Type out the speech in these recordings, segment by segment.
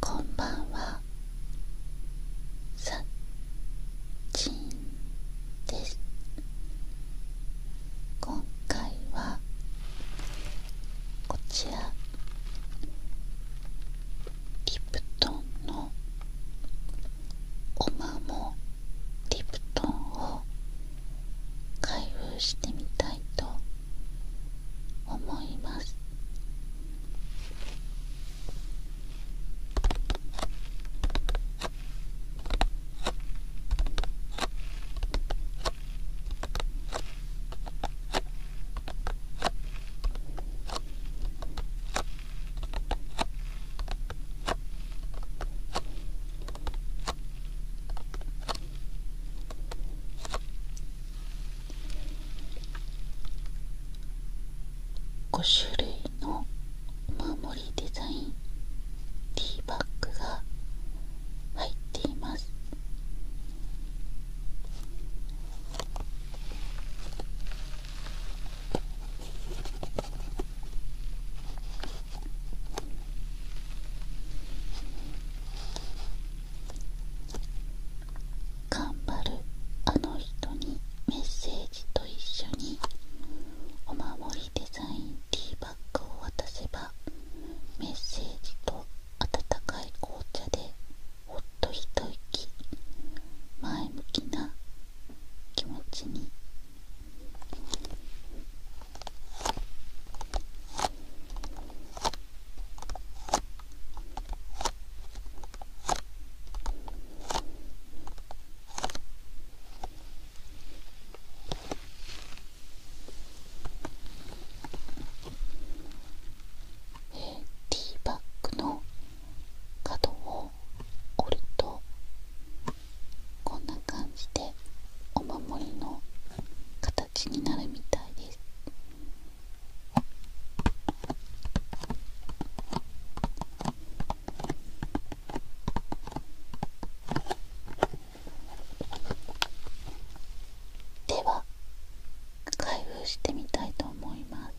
こんばんはさっちんです今回はこちらリプトンのおまもリプトンを開封してみたいと思います「5種類のお守りデザインティーバッグが入っています頑張るあの人にメッセージと一緒にお守りデザインティーバッグを渡せばメッセージと温かい紅茶でほっと一息前向きな気持ちにティーバッグの角を折るとこんな感じでお守りの形形になるみたいですでは開封してみたいと思います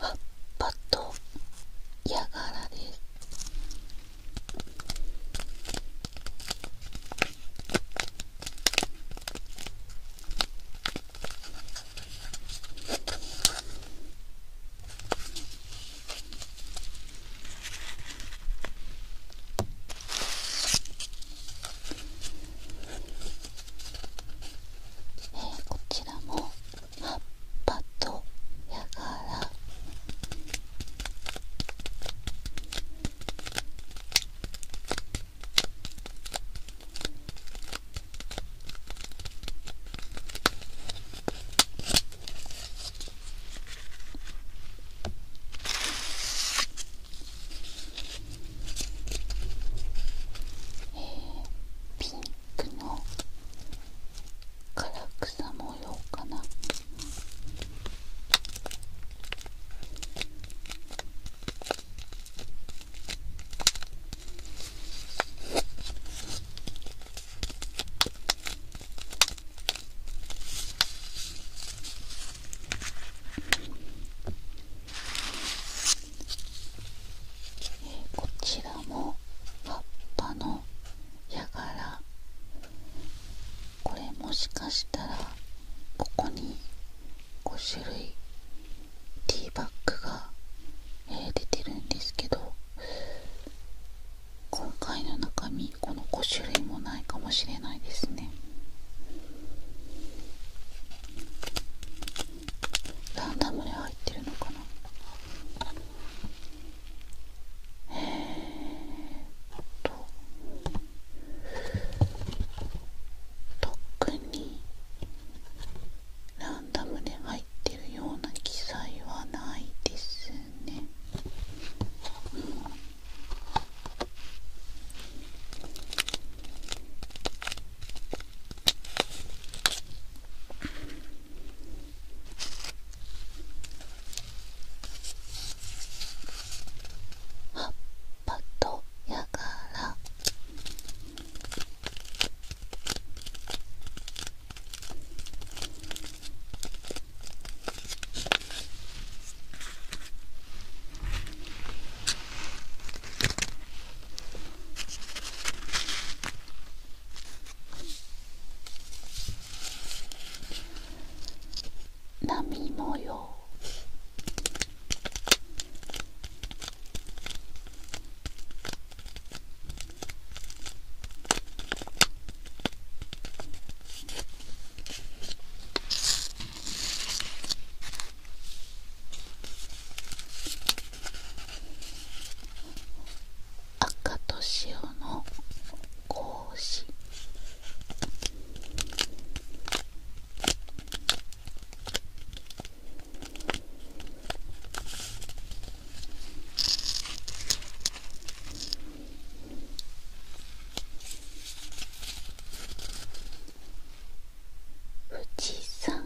葉っぱとヤガラですえこちらも葉っぱとやからえピンクの唐草模様かな。こちらも葉っぱのやがらこれもしかしたらここに5種類ティーバッグが、えー、出てるんですけど今回の中身この5種類もないかもしれないですねランダムで入ってるのかなえーっと特にランダムで入ってるような記載はないですね、うん、葉っぱとやがら波模様赤と潮の格子富士山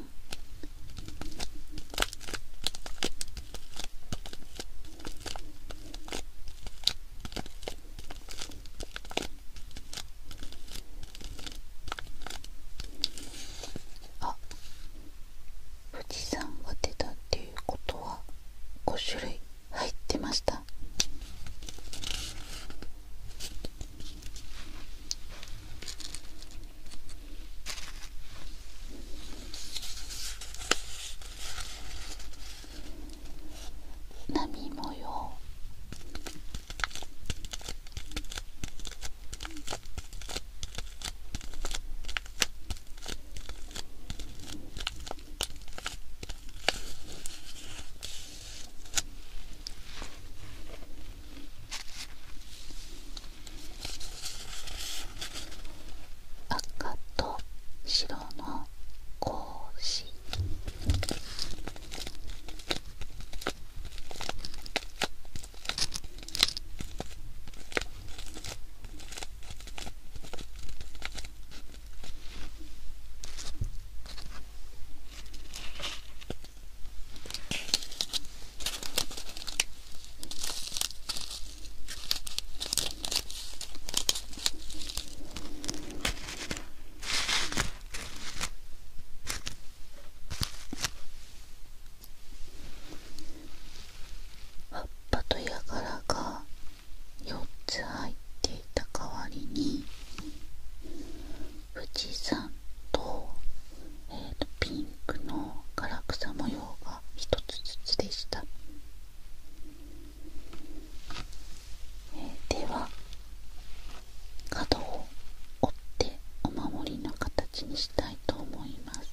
あ富士山が出たっていうことは5種類入ってました波模様赤と白の格子葉っぱとやがらが4つ入っていた代わりに富士山と,、ピンクの唐草模様が1つずつでした。えでは角を折ってお守りの形にしたいと思います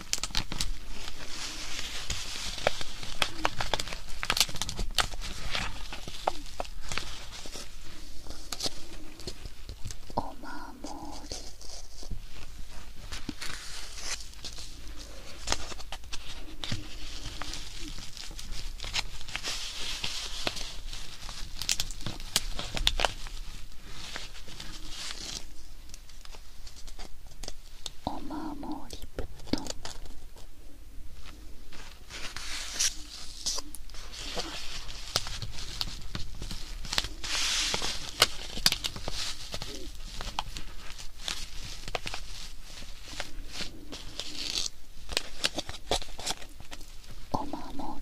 お守りお守りぶとんおまり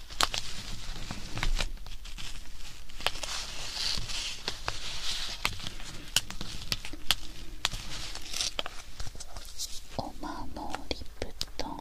お守り布団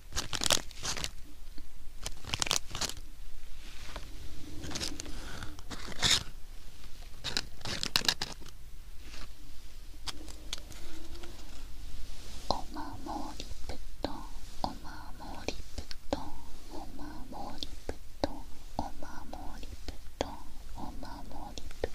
お守りぶとんお守りぶとんお守りぶとんお守りぶとんお守りぶ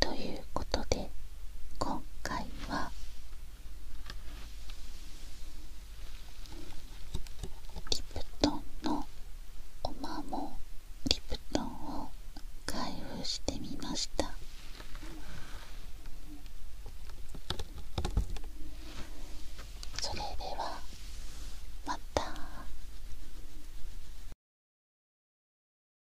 ということで今回はリプトンのおまもリプトンを開封してみましたそれではまた。